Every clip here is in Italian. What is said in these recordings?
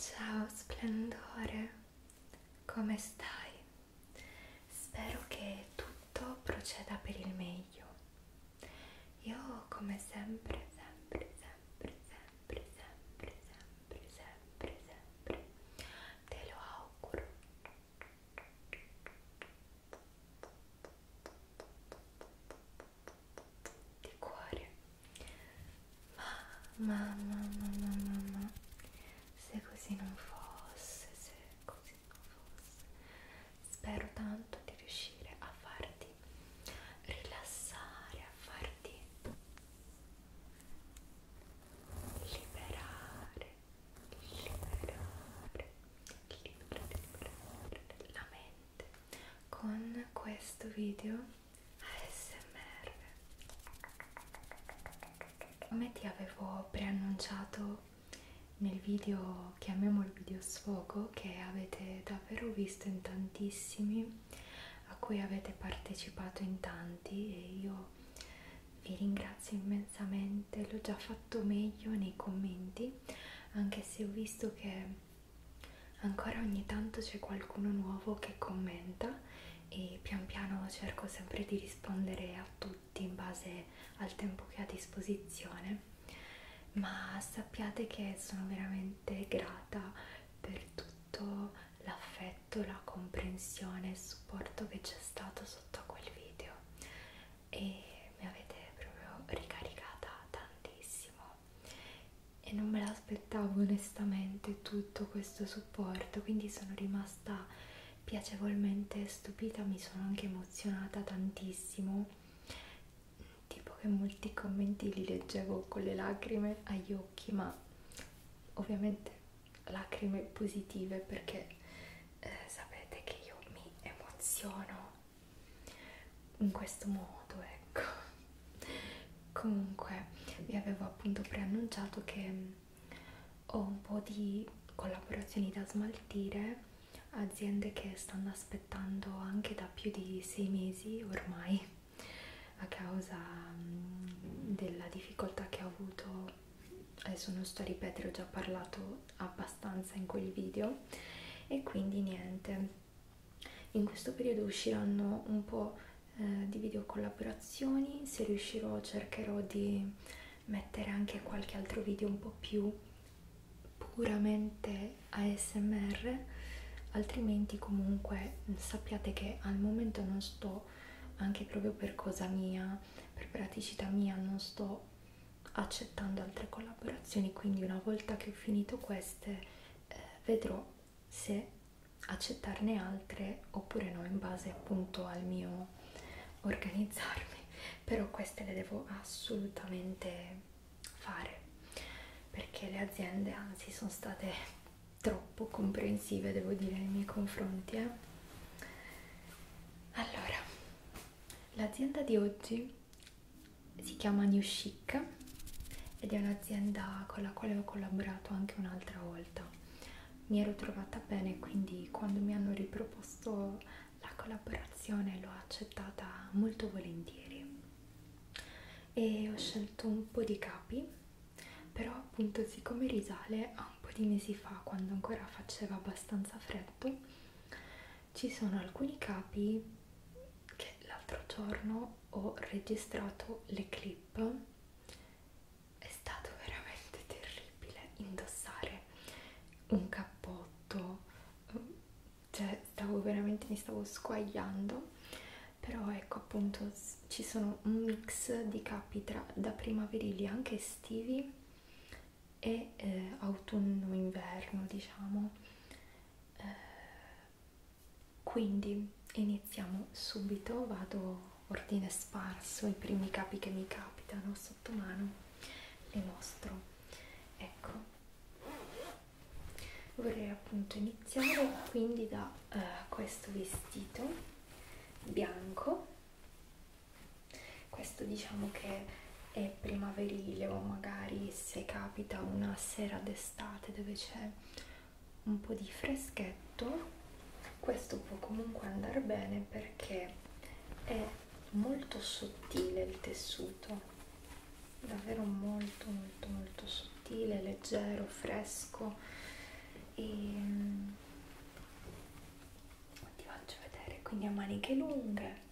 Ciao splendore, come stai? Spero che tutto proceda per il meglio. Io come sempre, sempre, sempre, sempre, sempre, sempre, sempre, sempre, te lo auguro. Di cuore. Ma, ma, ma, ma, ma, ma, se così non fosse, se così se non fosse. Spero tanto di riuscire a farti rilassare, a farti liberare, liberare, liberare, liberare la mente con questo video ASMR come ti avevo preannunciato nel video, chiamiamolo video sfogo, che avete davvero visto in tantissimi, a cui avete partecipato in tanti e io vi ringrazio immensamente, l'ho già fatto meglio nei commenti, anche se ho visto che ancora ogni tanto c'è qualcuno nuovo che commenta e pian piano cerco sempre di rispondere a tutti tutti in base al tempo che ha a disposizione, ma sappiate che sono veramente grata per tutto l'affetto, la comprensione e il supporto che c'è stato sotto a quel video e mi avete proprio ricaricata tantissimo e non me l'aspettavo onestamente tutto questo supporto quindi sono rimasta piacevolmente stupita, mi sono anche emozionata tantissimo, tipo che molti commenti li leggevo con le lacrime agli occhi, ma ovviamente lacrime positive perché eh, sapete che io mi emoziono in questo modo, ecco. Comunque, vi avevo appunto preannunciato che ho un po' di collaborazioni da smaltire aziende che stanno aspettando anche da più di sei mesi ormai a causa mm, della difficoltà che ho avuto adesso non sto a ripetere ho già parlato abbastanza in quel video e quindi niente in questo periodo usciranno un po' eh, di video collaborazioni se riuscirò cercherò di mettere anche qualche altro video un po' più puramente ASMR, altrimenti comunque sappiate che al momento non sto, anche proprio per cosa mia, per praticità mia, non sto accettando altre collaborazioni, quindi una volta che ho finito queste eh, vedrò se accettarne altre oppure no in base appunto al mio devo organizzarmi però queste le devo assolutamente fare perché le aziende anzi sono state troppo comprensive devo dire nei miei confronti eh? allora l'azienda di oggi si chiama New Chic ed è un'azienda con la quale ho collaborato anche un'altra volta mi ero trovata bene quindi quando mi hanno riproposto la collaborazione l'ho accettata molto volentieri e ho scelto un po' di capi però appunto siccome risale a un po' di mesi fa quando ancora faceva abbastanza freddo ci sono alcuni capi che l'altro giorno ho registrato le clip è stato veramente terribile indossare un cappotto, cioè stavo veramente mi stavo squagliando, però ecco appunto ci sono un mix di capi tra, da primaverili anche estivi e eh, autunno-inverno diciamo, eh, quindi iniziamo subito, vado ordine sparso, i primi capi che mi capitano sono sotto mano le mostro ecco vorrei appunto iniziare quindi da uh, questo vestito bianco questo diciamo che è primaverile o magari se capita una sera d'estate dove c'è un po' di freschetto questo può comunque andare bene perché è molto sottile il tessuto davvero molto molto molto sottile leggero fresco e mm, ti faccio vedere quindi a maniche lunghe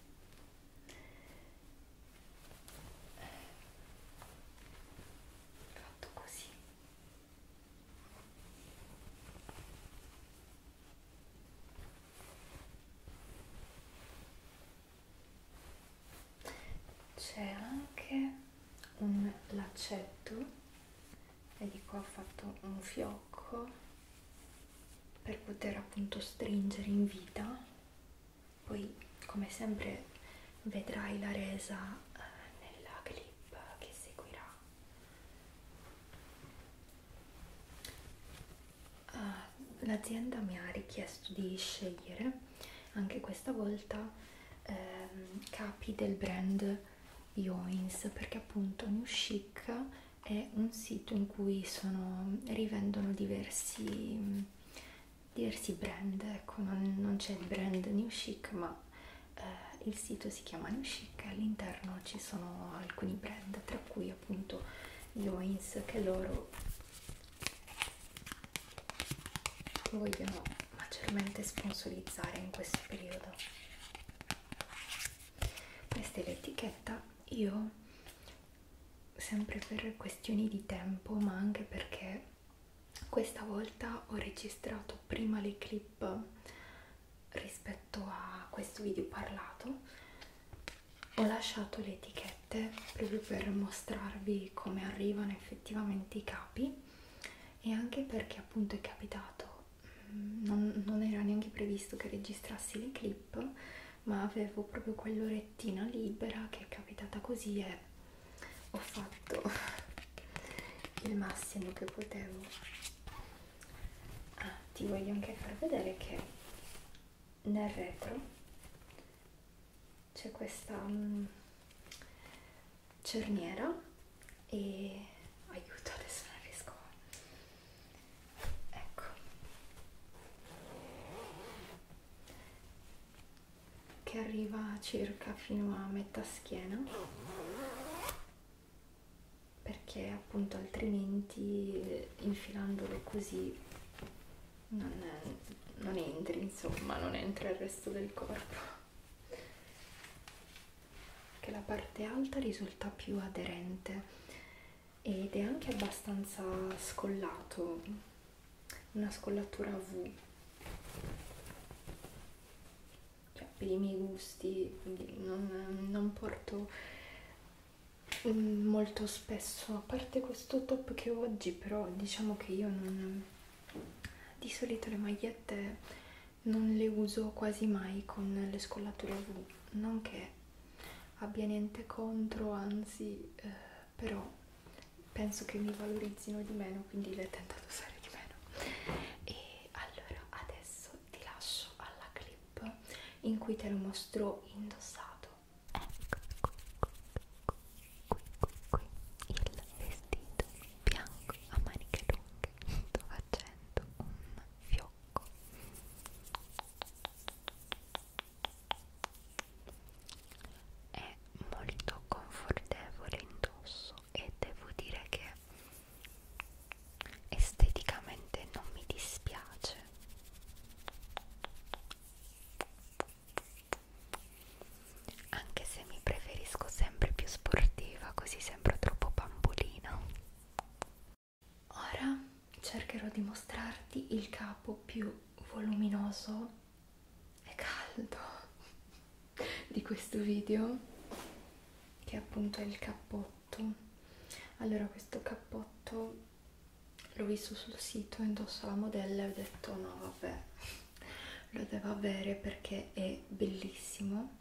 fatto così c'è anche un laccetto vedi qua ho fatto un fiocco per poter appunto stringere in vita poi come sempre vedrai la resa eh, nella clip che seguirà uh, l'azienda mi ha richiesto di scegliere anche questa volta ehm, capi del brand Yoins perché appunto New Chic è un sito in cui sono, rivendono diversi, diversi brand, ecco non, non c'è il brand New Chic ma eh, il sito si chiama New Chic e all'interno ci sono alcuni brand tra cui appunto noise che loro vogliono maggiormente sponsorizzare in questo periodo questa è l'etichetta io sempre per questioni di tempo ma anche perché questa volta ho registrato prima le clip rispetto a questo video parlato ho lasciato le etichette proprio per mostrarvi come arrivano effettivamente i capi e anche perché appunto è capitato mm, non, non era neanche previsto che registrassi le clip ma avevo proprio quell'orettina libera che è capitata così e ho fatto il massimo che potevo ah, ti voglio anche far vedere che nel retro c'è questa um, cerniera e aiuto adesso non riesco ecco che arriva circa fino a metà schiena perché appunto altrimenti infilandolo così non, non entri insomma non entra il resto del corpo che la parte alta risulta più aderente ed è anche abbastanza scollato una scollatura V cioè per i miei gusti non, non porto Mm, molto spesso a parte questo top che ho oggi però diciamo che io non di solito le magliette non le uso quasi mai con le scollature V non che abbia niente contro anzi eh, però penso che mi valorizzino di meno quindi le tento ad usare di meno e allora adesso ti lascio alla clip clip in cui te lo mostro indossato ecco qui, qui, qui, qui, qui il vestito bianco a maniche lunghe sto facendo un fiocco è molto confortevole indosso e devo dire che esteticamente non mi dispiace anche se mi preferisco sempre più sportiva, così sembro troppo bambolina. Ora cercherò di mostrarti il capo più voluminoso e caldo di questo video che appunto è il cappotto allora questo cappotto l'ho visto sul sito, indossa la modella e ho detto no vabbè, lo devo avere perché è bellissimo,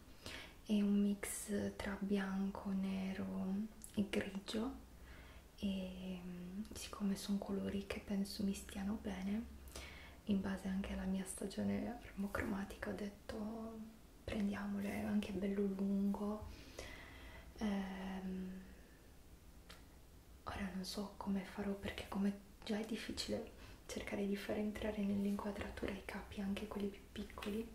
è un mix tra bianco, nero e grigio e mm, siccome sono colori che penso mi stiano bene, in base anche alla mia stagione armocromatica ho detto prendiamole, è anche bello lungo. Ehm, Ora non so come farò perché come già è difficile cercare di far entrare nell'inquadratura i capi, anche quelli più piccoli,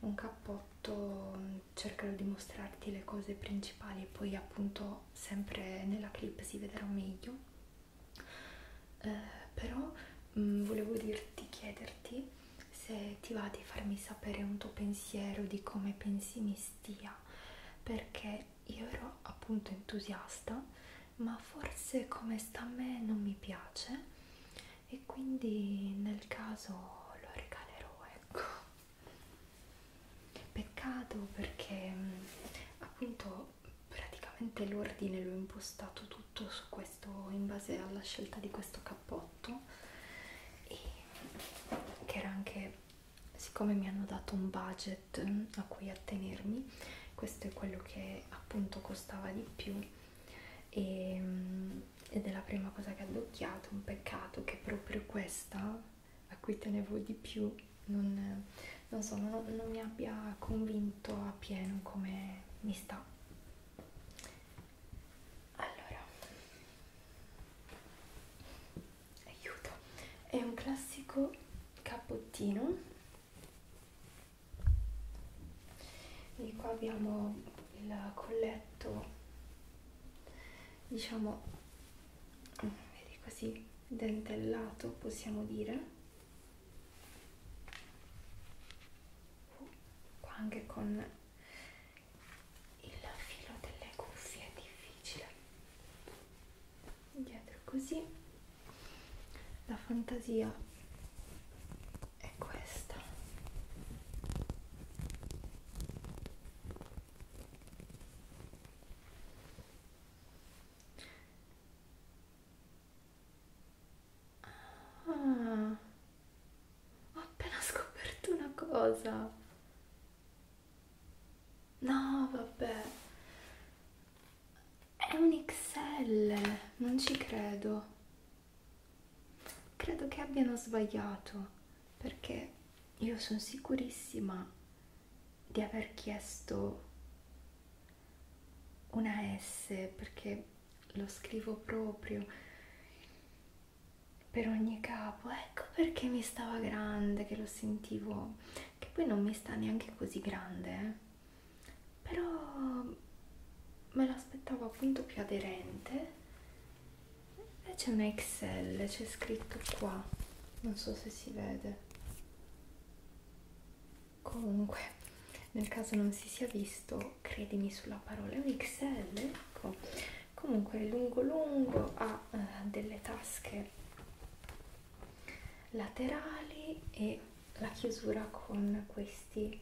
un cappotto mm, cercherò di mostrarti le cose principali e poi appunto sempre nella clip si vedrà meglio. Eh, però mh, mm, volevo dirti, chiederti se ti va di farmi sapere un tuo pensiero di come pensi mi stia perché io ero appunto entusiasta ma forse come sta a me non mi piace e quindi nel caso lo regalerò ecco peccato perché mm, appunto praticamente l'ordine l'ho impostato tutto su questo in base alla scelta di questo cappotto prodotto e che era anche siccome mi hanno dato un budget mm, a cui attenermi questo è quello che appunto costava di più e, mm, ed è la prima cosa che ho addocchiato un peccato che proprio questa a cui tenevo di più non, non so non, non mi abbia convinto a pieno come mi sta allora aiuto è un classico cappottino e qua abbiamo il colletto diciamo vedi così dentellato possiamo dire oh, qua anche con il filo delle cuffie è difficile dietro così la fantasia è questa Ah, ho appena scoperto una cosa No, vabbè. È un XL, non ci credo. Credo che abbiano sbagliato, perché io sono sicurissima di aver chiesto una S, perché lo scrivo proprio per ogni capo ecco perché mi stava grande che lo sentivo che poi non mi sta neanche così grande eh. però me l'aspettavo appunto più aderente e c'è una XL c'è scritto qua non so se si vede comunque nel caso non si sia visto credimi sulla parola un XL ecco comunque lungo lungo ha eh, delle tasche laterali e la chiusura con questi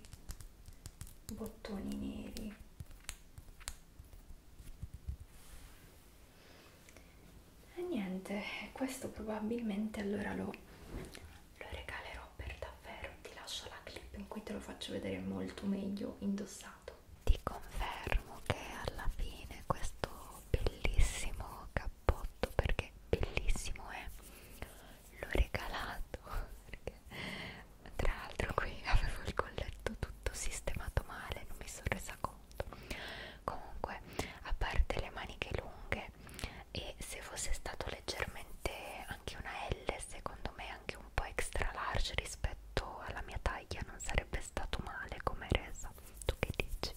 bottoni neri e niente questo probabilmente allora lo, lo regalerò per davvero ti lascio la clip in cui te lo faccio vedere molto meglio indossato ti confermo che alla fine questo bellissimo cappotto perché bellissimo è l'ho regalato perché, tra l'altro qui avevo il colletto tutto sistemato male non mi sono resa conto comunque a parte le maniche lunghe e se fosse stato leggermente anche una L secondo me anche un po' extra large rispetto alla mia taglia non sarebbe stato male come resa tu che dici?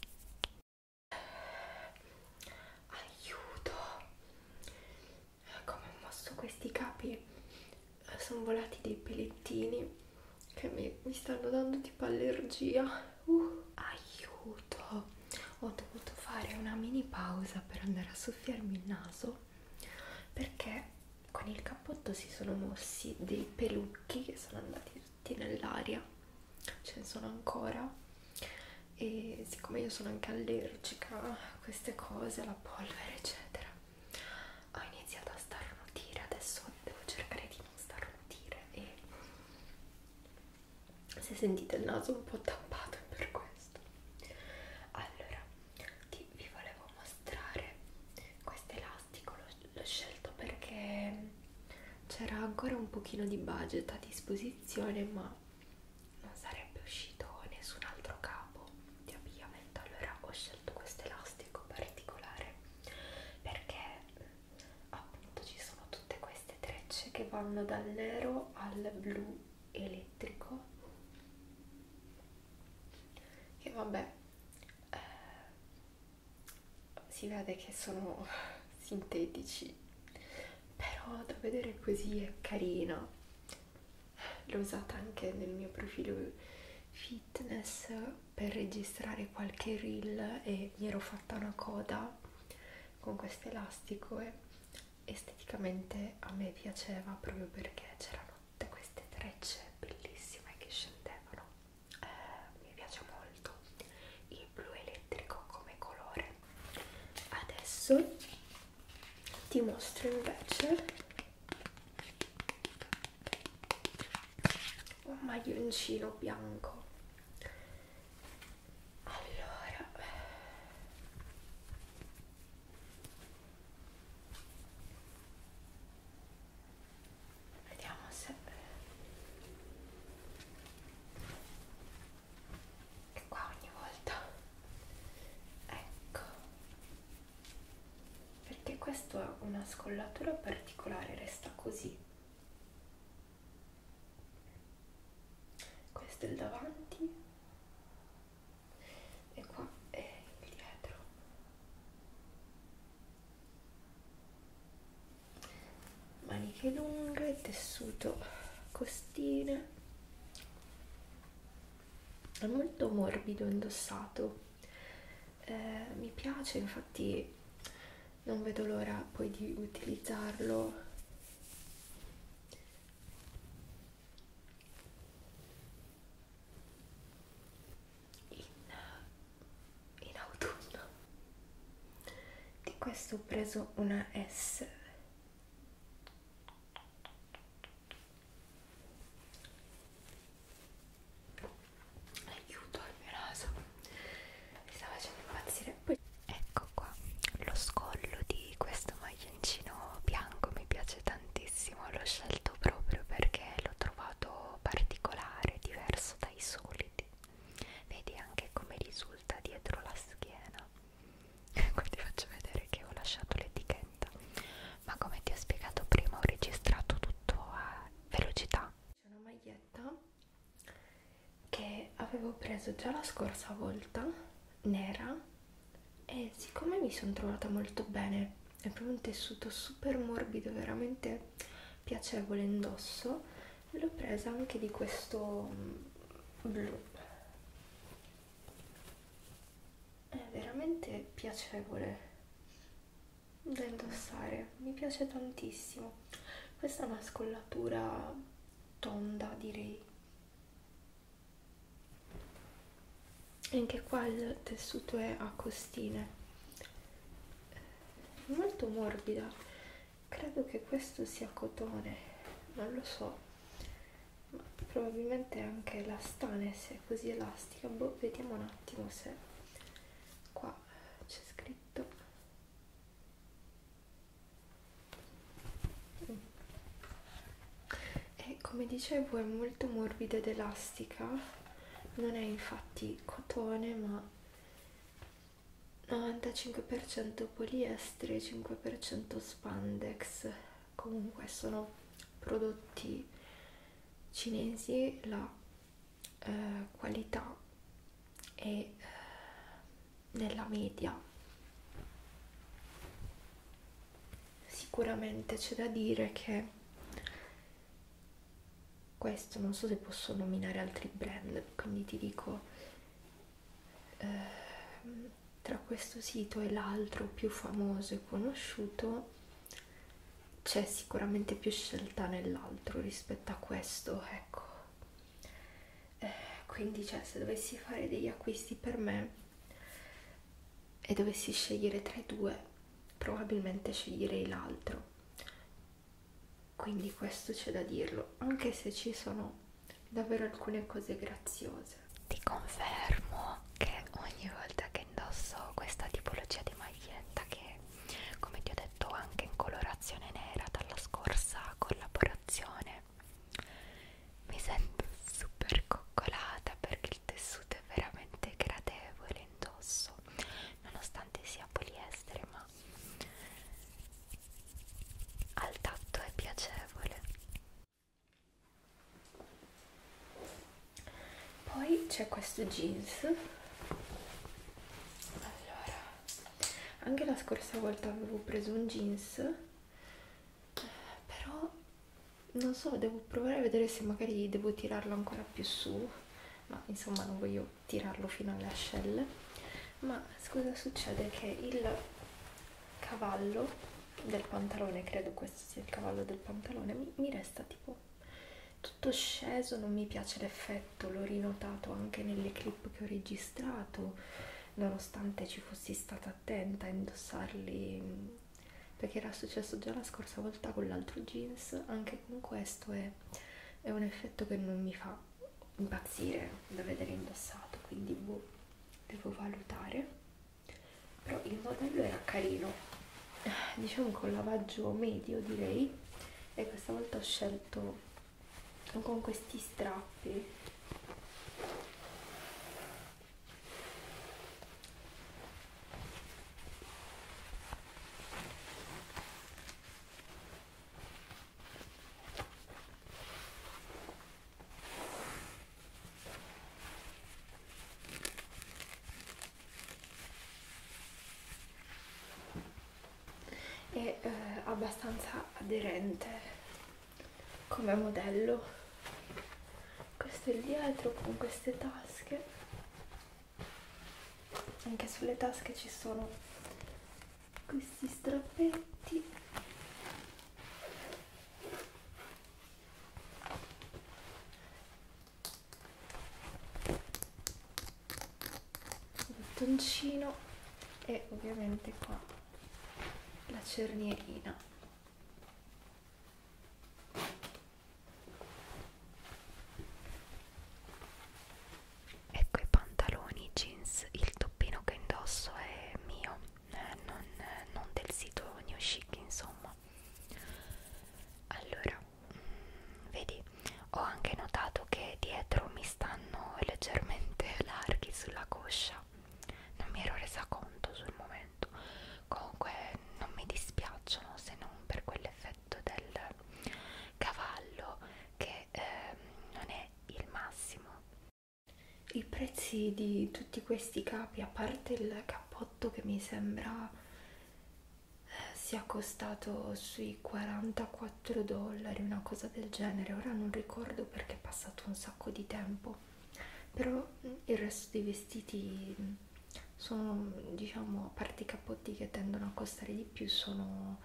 aiuto come ho mosso questi capi eh, sono volati dei pelettini che mi, mi stanno dando tipo allergia uh, aiuto ho dovuto fare una mini pausa per andare a soffiarmi il naso perché con il cappotto si sono mossi dei pelucchi che sono andati tutti nell'aria ce ne sono ancora e siccome io sono anche allergica a queste cose alla polvere eccetera ho iniziato a starnutire adesso devo cercare di non starnutire e se sentite il naso un po' tappato è per questo allora ti, vi volevo mostrare questo elastico l'ho scelto perché c'era ancora un pochino di budget a disposizione ma non sarebbe uscito nessun altro capo di abbigliamento allora ho scelto questo elastico particolare perché appunto ci sono tutte queste trecce che vanno dal nero al blu elettrico e vabbè eh, si vede che sono sintetici però da vedere così è carina l'ho usata anche nel mio profilo fitness per registrare qualche reel e mi ero fatta una coda con questo elastico e esteticamente a me piaceva proprio perché c'erano tutte queste trecce bellissime che scendevano eh, mi piace molto il blu elettrico come colore adesso ti mostro invece un maglioncino bianco allora Vediamo se e qua ogni volta ecco perché questo ha una scollatura particolare resta così questo è il davanti e qua è il dietro maniche lunghe, tessuto costine, è molto morbido indossato, eh, mi piace infatti non vedo l'ora poi di utilizzarlo in, in autunno di questo ho preso una S aiuto il mio naso mi sta facendo impazzire poi ecco qua lo scollo di questo maglioncino bianco mi piace tantissimo l'ho scelto proprio perché l'ho trovato po' particolare, diverso dai soliti. Vedi anche come risulta dietro la schiena. Ecco, ti faccio vedere che ho lasciato l'etichetta. Ma come ti ho spiegato prima, ho registrato tutto a velocità. C'è una maglietta che avevo preso già la scorsa volta, nera, e siccome mi sono trovata molto bene è proprio un tessuto super morbido veramente piacevole indosso l'ho presa anche di questo mm, blu è veramente piacevole da indossare mi piace tantissimo questa è una scollatura tonda direi anche qua il tessuto è a costine molto morbida credo che questo sia cotone non lo so ma probabilmente anche elastane se è così elastica boh, vediamo un attimo se qua c'è scritto mm. e come dicevo è molto morbida ed elastica non è infatti cotone ma 95% poliestere 5% spandex comunque sono prodotti cinesi la eh, qualità è eh, nella media sicuramente c'è da dire che questo non so se posso nominare altri brand quindi ti dico eh, tra questo sito e l'altro più famoso e conosciuto c'è sicuramente più scelta nell'altro rispetto a questo ecco eh, quindi cioè se dovessi fare degli acquisti per me e dovessi scegliere tra i due probabilmente sceglierei l'altro quindi questo c'è da dirlo anche se ci sono davvero alcune cose graziose ti confermo che ogni volta che indosso questa tipologia di maglietta che come ti ho detto anche in colorazione nera dalla scorsa collaborazione mi sento super coccolata perché il tessuto è veramente gradevole indosso nonostante sia poliestere ma al tatto è piacevole poi c'è questo jeans allora anche la scorsa volta avevo preso un jeans però non so devo provare a vedere se magari devo tirarlo ancora più su ma insomma non voglio tirarlo fino alle ascelle ma scusa succede che il cavallo del pantalone credo questo sia il cavallo del pantalone mi, mi resta tipo tutto sceso non mi piace l'effetto l'ho rinotato anche nelle clip che ho registrato nonostante ci fossi stata attenta a indossarli mm, perché era successo già la scorsa volta con l'altro jeans anche con questo questo è, è un effetto che non mi fa impazzire da vedere indossato quindi boh, devo valutare però il modello era carino diciamo con lavaggio medio direi e questa volta ho scelto con questi strappi è eh, abbastanza aderente come modello questo è il dietro con queste tasche anche sulle tasche ci sono questi strappetti il bottoncino e ovviamente qua la cernierina Ecco i pantaloni, i jeans, il toppino che indosso è mio, eh, non, non del sito New Chic insomma. Allora, mh, mm, vedi, ho anche notato che dietro mi stanno leggermente larghi sulla coscia, non mi ero resa conto sul momento, comunque non mi dispiacciono se non per quell'effetto effetto del cavallo che eh, non è il massimo i prezzi di tutti questi capi a parte il cappotto che mi sembra eh, sia costato sui 44 dollari una cosa del genere ora non ricordo perché è passato un sacco di tempo però mm, il resto dei vestiti mm, sono diciamo parti capotti che tendono a costare di più sono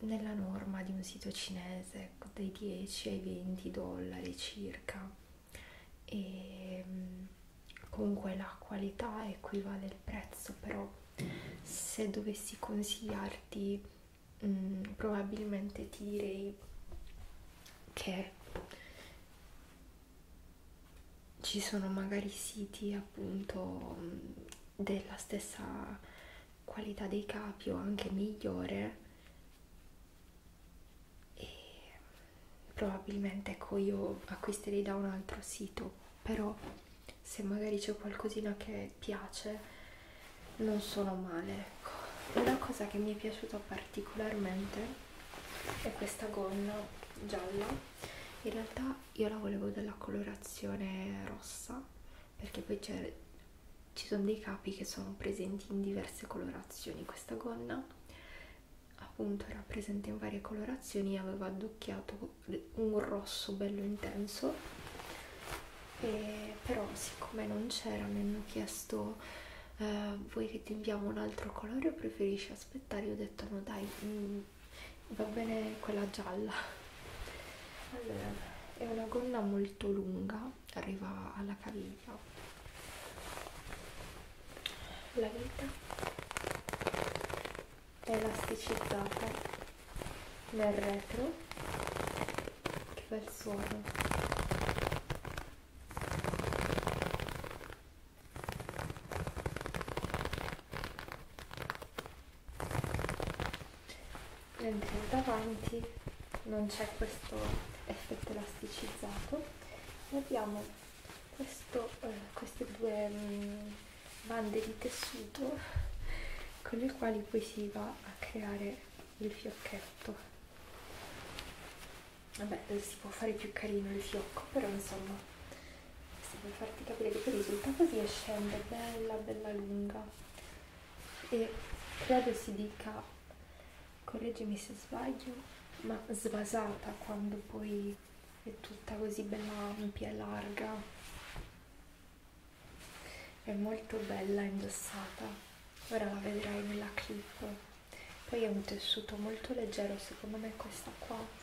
nella norma di un sito cinese ecco, dai 10 ai 20 dollari circa e mm, comunque la qualità equivale al prezzo però se dovessi consigliarti mh, mm, probabilmente ti direi che ci sono magari siti appunto mm, della stessa qualità dei capi o anche migliore e probabilmente ecco io acquisterei da un altro sito però se magari c'è qualcosina che piace non sono male ecco una cosa che mi è piaciuta particolarmente è questa gonna gialla in realtà rosa io la volevo della colorazione rossa perché poi ci sono dei capi che sono presenti in diverse colorazioni questa gonna appunto era presente in varie colorazioni aveva addocchiato un rosso bello intenso e però siccome non c'era mi hanno chiesto eh, vuoi che ti inviamo un altro colore o preferisci aspettare io ho detto no dai mh, mm, va bene quella gialla allora è una gonna molto lunga arriva alla caviglia la vita è elasticizzata nel retro che bel suono mentre davanti non c'è questo effetto elasticizzato e abbiamo questo, eh, queste due mh, mm, bande di tessuto con le quali poi si va a creare il fiocchetto vabbè si può fare più carino il fiocco però insomma sì, per farti capire che poi risulta così e scende bella bella lunga e credo si dica correggimi se sbaglio ma svasata quando poi è tutta così bella ampia e larga è molto bella indossata ora la vedrai nella clip poi è un tessuto molto leggero secondo me questa qua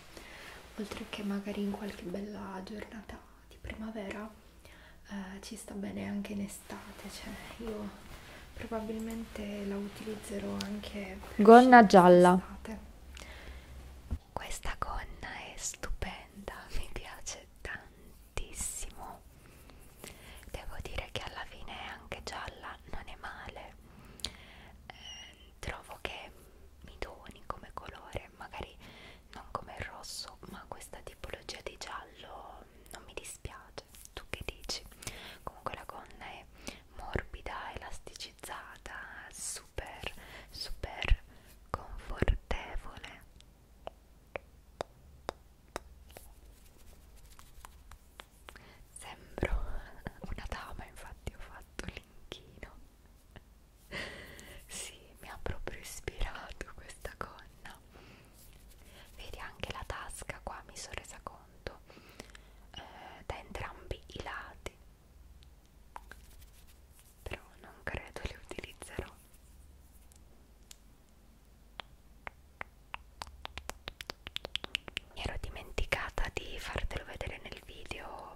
oltre che magari in qualche bella giornata di primavera eh, ci sta bene anche in estate cioè io probabilmente la utilizzerò anche per gonna gialla questa gonna è stupenda mi piace tantissimo devo dire che alla fine anche gialla non è male eh, trovo che mi doni come colore, magari non come il rosso, ma questa tipologia di giallo non mi dispiace. Tu che dici? Comunque la gonna è morbida, elasticizzata, super, super confortevole. Sembro una dama, infatti ho fatto l'inchino sì, mi ha proprio ispirato questa gonna. Vedi anche la tasca qua, mi sono resa conto, eh, da entrambi i lati. Però non credo le utilizzerò. Mi ero dimenticata di fartelo vedere nel video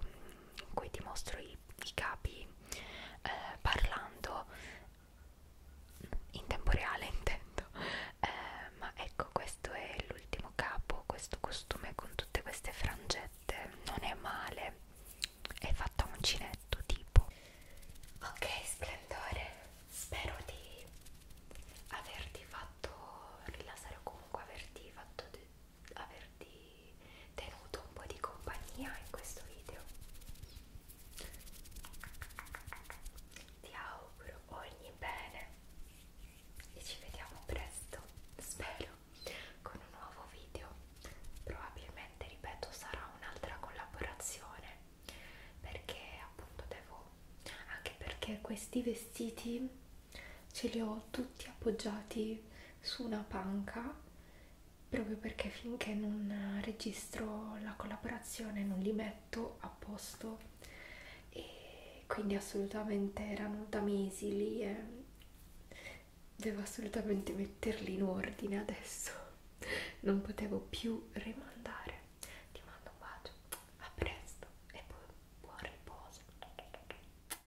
in cui ti mostro i i, i capi eh, parlando in tempo reale intendo eh, ma ecco questo è l'ultimo capo questo costume con tutte queste frangette non è male è fatto a uncinetto tipo ok splendore spero di averti fatto rilassare o comunque averti fatto averti tenuto un po' di compagnia in questo video. Ti auguro ogni bene e ci vediamo presto, spero, con un nuovo video. Probabilmente, ripeto, sarà un'altra collaborazione perché appunto devo anche perché questi vestiti ce li ho tutti appoggiati su una panca proprio perché finché non registro la collaborazione non li metto a posto e quindi assolutamente erano da mesi lì e devo assolutamente metterli in ordine adesso non potevo più rimandare ti mando un bacio a presto e bu buon riposo